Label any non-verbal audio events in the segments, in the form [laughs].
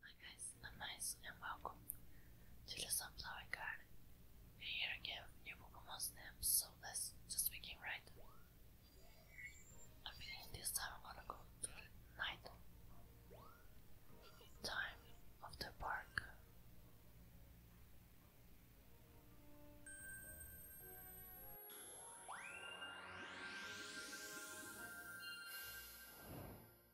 Hi guys, I'm Nice and welcome to the Sunflower Garden. We're here again with new Pokemon Snaps, so let's just begin right. I this time I'm gonna go night time of the park.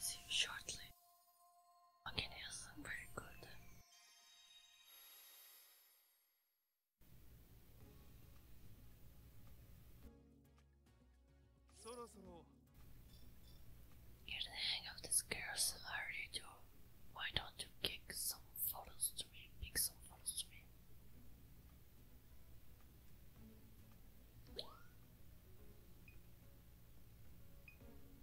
See you shortly. Okay, yes, I'm pretty good. Get the hang of this girl's already do. Why don't you kick some photos to me? Pick some photos to me.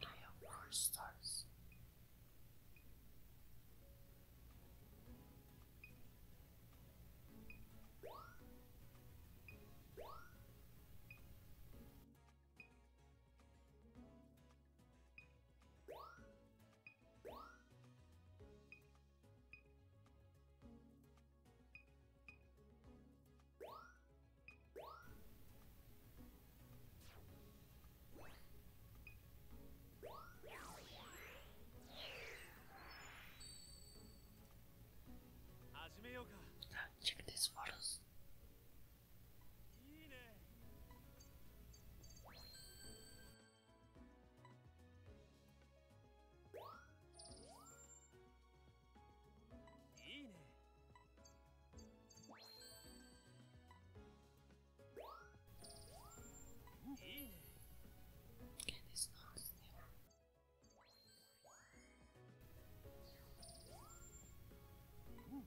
I have four stars. Check these photos.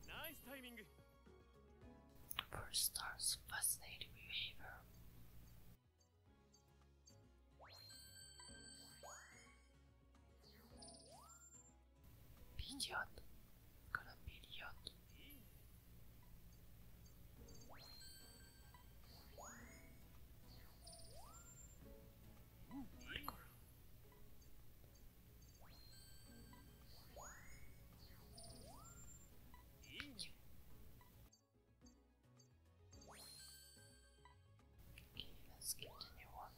Nice timing. First stars fascinating behavior. Пидят. Когда пидят. Прикольно. Okay, let's get the new one.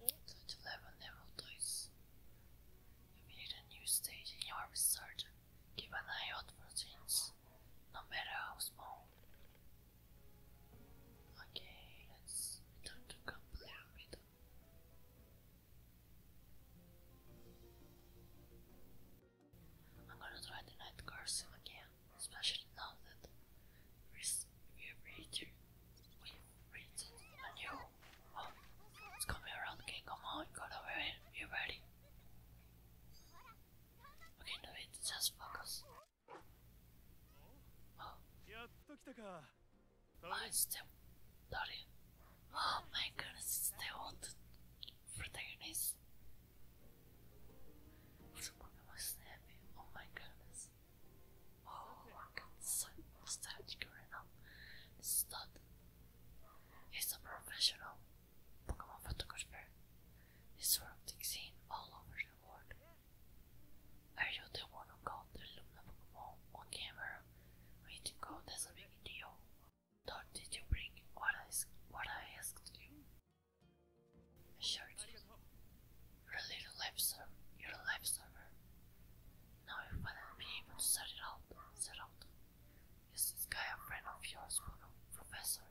Go level level dice. You need a new stage in your research. Keep an eye out for things no matter how small. Okay, let's return to complete I'm gonna try the night cursive again, especially now that we've reached, we've reached a new. it's coming around, okay, come on, gotta be ready. Okay, no just focus. Oh. Oh, it's the Dorian. Oh my goodness, it's the old protagonist. Which Pokemon is happy? Oh my goodness. Oh, I'm so nostalgic right now. This is a professional. Pokemon photographer. His work is seen all over the world. Are you the one who caught the Luna Pokemon on camera? We did caught as a big deal. Nor did you bring what I, what I asked you. I sure did. You're a little life server. You're a life server. Now you finally be able to set it out. Set out. Is this guy a friend of yours, Professor?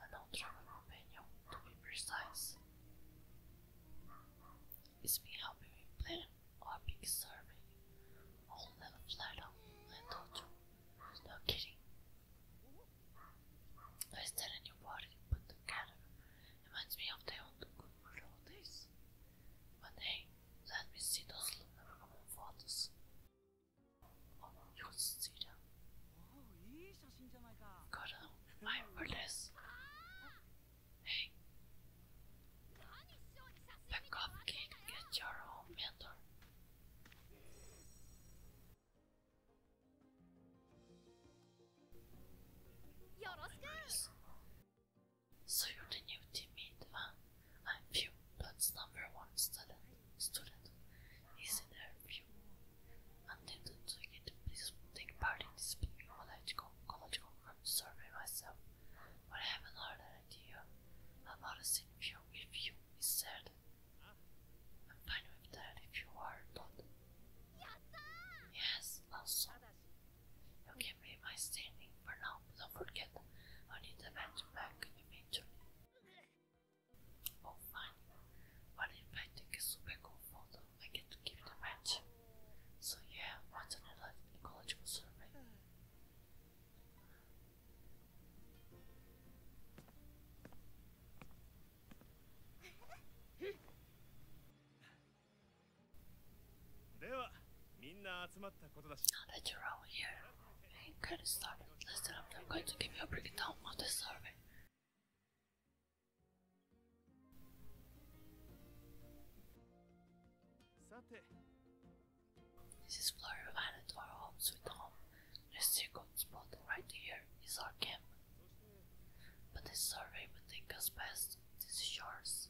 An old travel companion, to be precise. It's been helping me plan our big survey. All level flat out, I to you. No kidding. I stand in your body, put together. to me of the old good old days. But hey, let me see those memorable photos. You see them. Got them. Five or less. Hey. Back off, kid. Get your own mentor. Nice. So you're the new teammate, huh? I'm few, but number one student student is in her view attempted to get please take part in this ecological, ecological survey myself, but I have another idea about a scene view if you is said. I'm fine with that if you are not. Yes, I'm also. You give me my standing for now, don't forget I need the match back eventually. Oh fine, but if I take a super cool I get to give it match. So yeah, what's another ecological survey? [laughs] Now that are all here, Hey, get it I'm going to give you a breakdown of the survey. This is where we added our home sweet home. The second spot right here is our camp. But this survey would take us past these shores.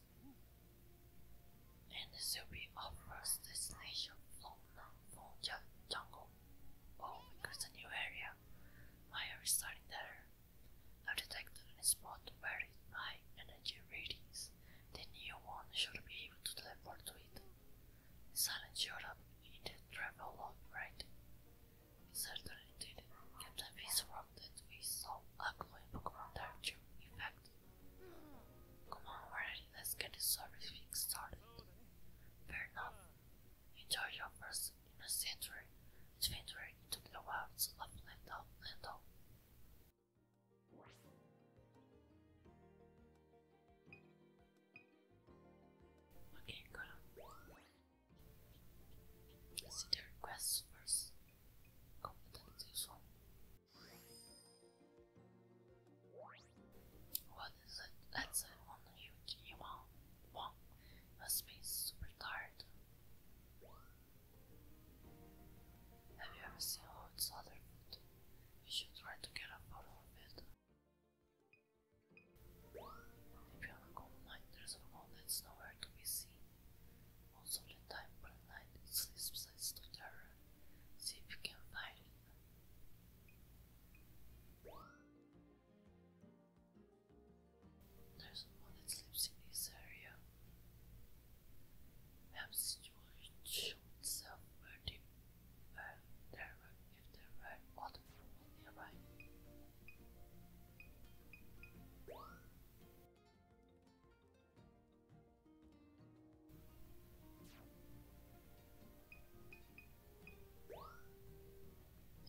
And this will be our first destination full jungle. Oh, there's a new area. My hair starting there. I've detected a spot where my energy readings. The new one should be able to teleport to it. Silence showed up in the travel log, right? certainly did. Captain Beast wrote that we saw a glowing Pokemon there Come on, already, let's get this service fixed started. Fair enough. You your first in a century. It's into the wilds of Lando, Lando. Okay, gonna see the requests first. Competence is one. What is it? That's it. Only you, you a space super Have you ever seen Lord's other foot? You should try to get a photo of it. Maybe on a cold night there's a wall that's nowhere to be seen. Most of the time, but at night it sleeps besides the terror. See if you can find it. There's a one that sleeps in this area. Perhaps it would show itself if there were other people nearby.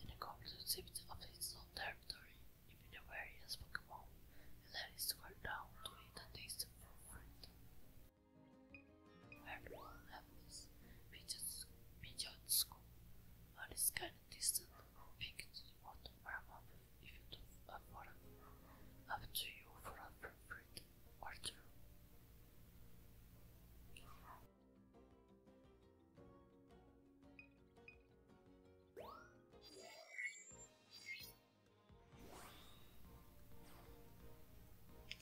In the conclusive of its own territory, even the various Pokemon, and let it square down to eat and taste for fruit. Everyone helpless, Pidgeot's, Pidgeot's school, on this kind of distant, pick to the water warm up if you don't afford Up to you for a fruit or let Let's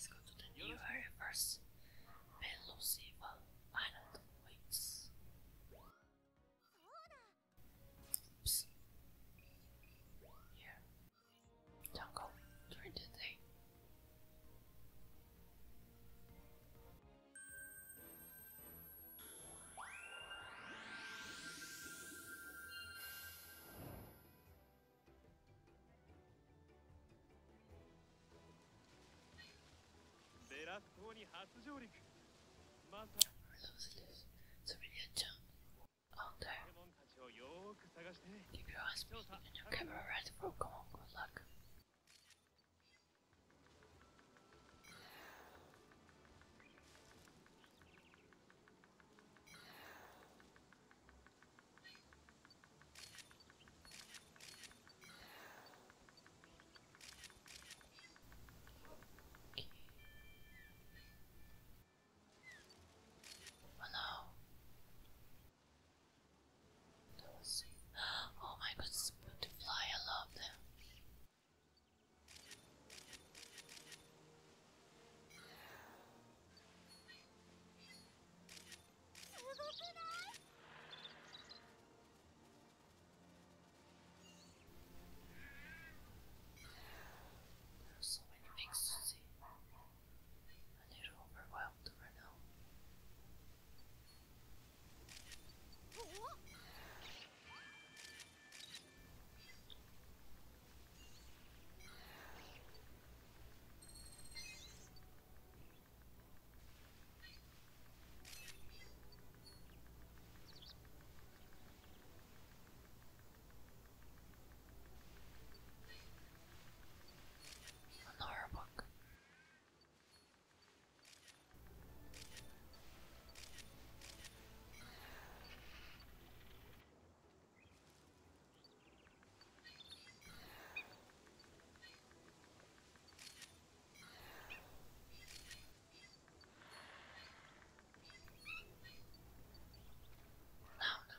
go to the new area first. Pelusival Island waits. Oops jungle for today. Lose this civilian jump on oh, there. Keep your eyes peeled and you'll cover a red Good luck. Oh Oh my goodness, butterfly, I love them. There and it overwhelmed Renault. An horror book. No, no, no,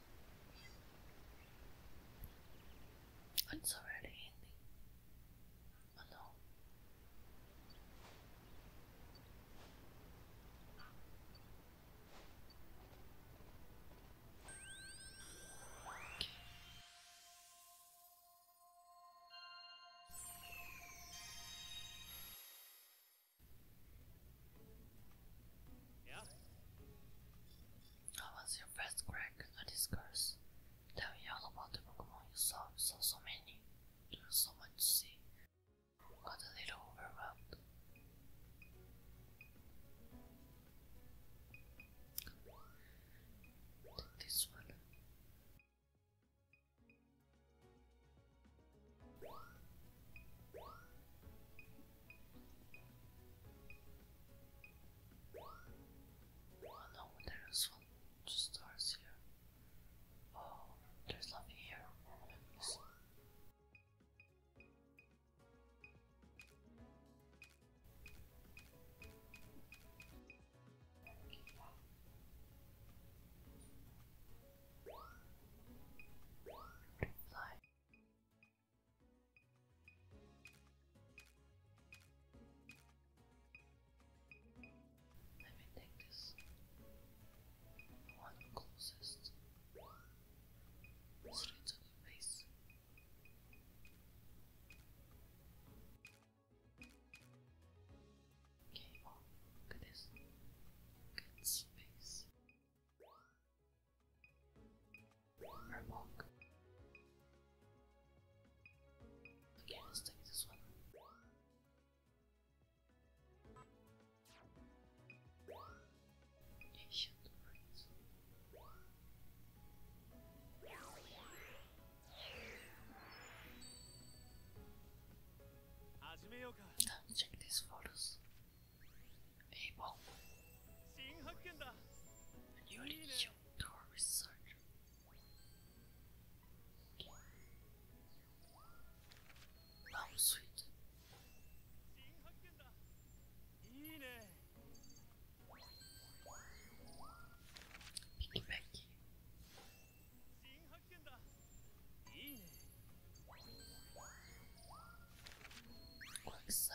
It's already ending. Oh no. Yeah. I was your first crack at this curse? Tell me all about the book you saw. You saw so many. so much to see. Got a little overwhelmed. this one. Oh no, there is one just stars here. Oh, there's nothing here. Reply. Let me take this one closest straight to the face. Okay, oh, look at this. Good space. Okay, let's take this one. Ancient Check these photos. Abel. And you're the young door researcher. Okay. Now, sweet. Piggy Becky. Quick, sir.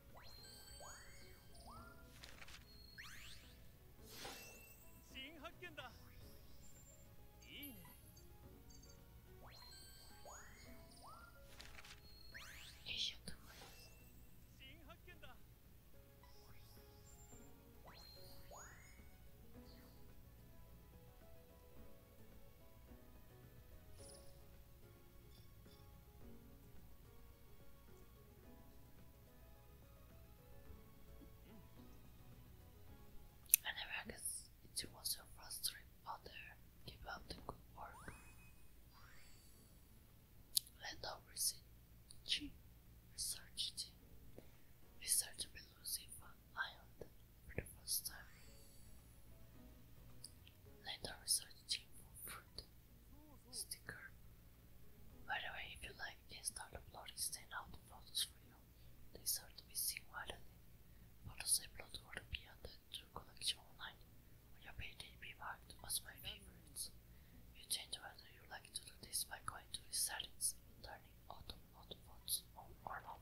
新発見だいいね新発見だ And I guess it was so frustrating other keep up the good work. Landau research researched research Lucy Van Island for the first time. Landau researched for fruit sticker. By the way, if you like, you can start uploading standout photos for you. They start to be seen widely. Photos uploaded will be added to collection online. your page be marked as my favorites. You change whether you like to do this by going to settings turning auto auto photos on or not.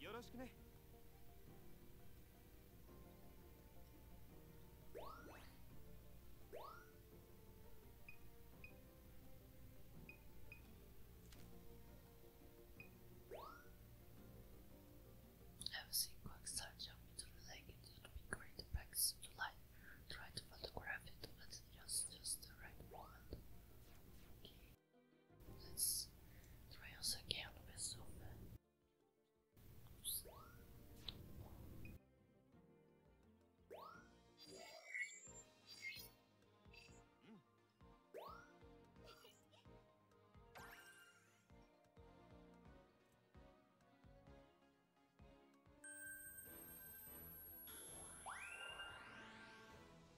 よろしくね have a quick start jumping to the lake, it would be great to practice the light. Try to photograph it at just, just the right moment. Okay. Mas trouxe aquela pessoa.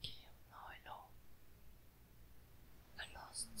Okay, I know. I lost the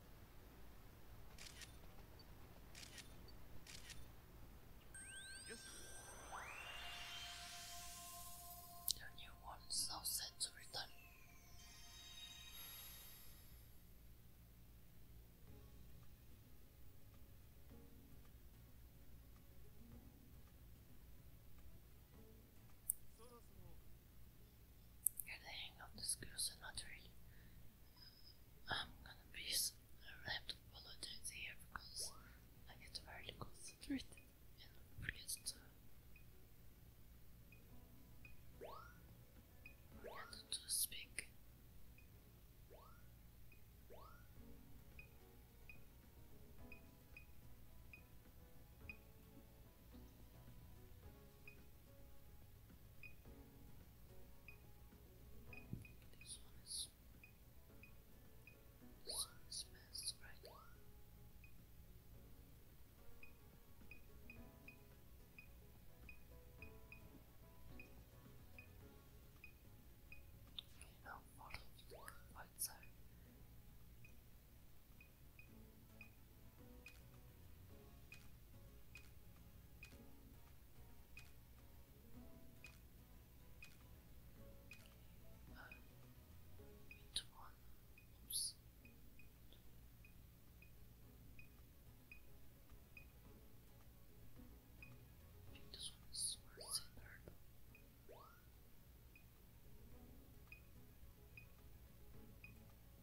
The new one is now set to return. Get the hang of the skills and not really I'm gonna be I have to apologize here because I get very concentrated and forget to forget to speak. This one is. This one is best, right? Okay, now follow the right uh, which I think this one is worth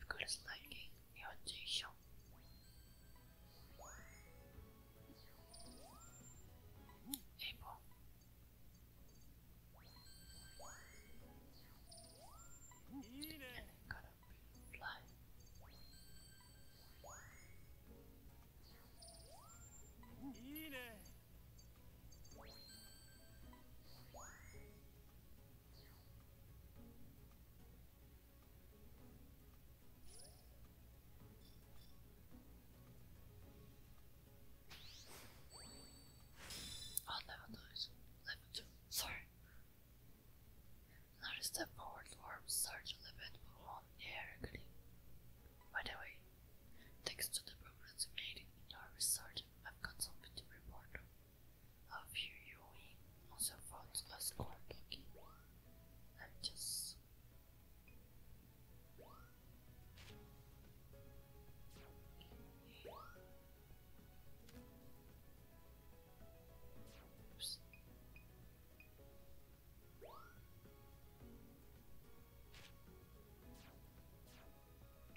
Because liking your Jisho. April. And then got a big Oh, level noise. Level 2. Sorry. Notice that forward worms start to limit on air again. By the way, thanks to the progress made in Norway Sergeant, I've got something to report. I A few Yui also found a score cookie. I'm just.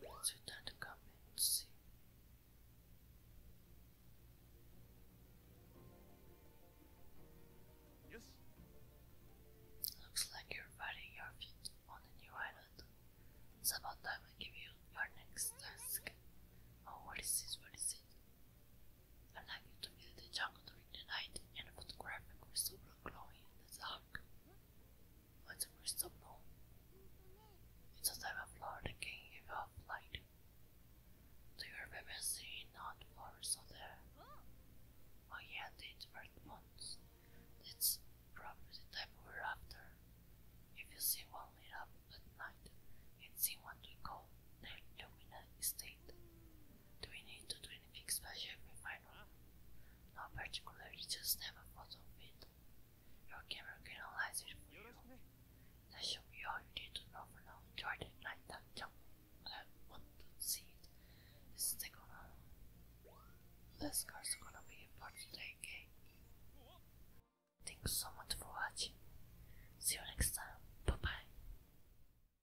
Let's hit that comment Yes. Looks like you're finding your feet on a new island. It's about time I give you your next task. Oh, what is this? What is it? allowing you to view the jungle during the night and photograph a crystal ball glowing in the dark. What's a crystal ball? It's a type of flower that can give off light. Do you remember seeing not flowers on there? Oh yeah, the different ones. That's probably the type we're after. If you see one lit up at night and see one to go, their dominant state, do we need to do anything special if we find one? Not a photo Your camera can analyze you. That should be all you need to know for now. Enjoy the jump. I want to see it. This is gonna. This car's gonna be it today, okay? Thanks so much for watching. See you next time. Bye bye.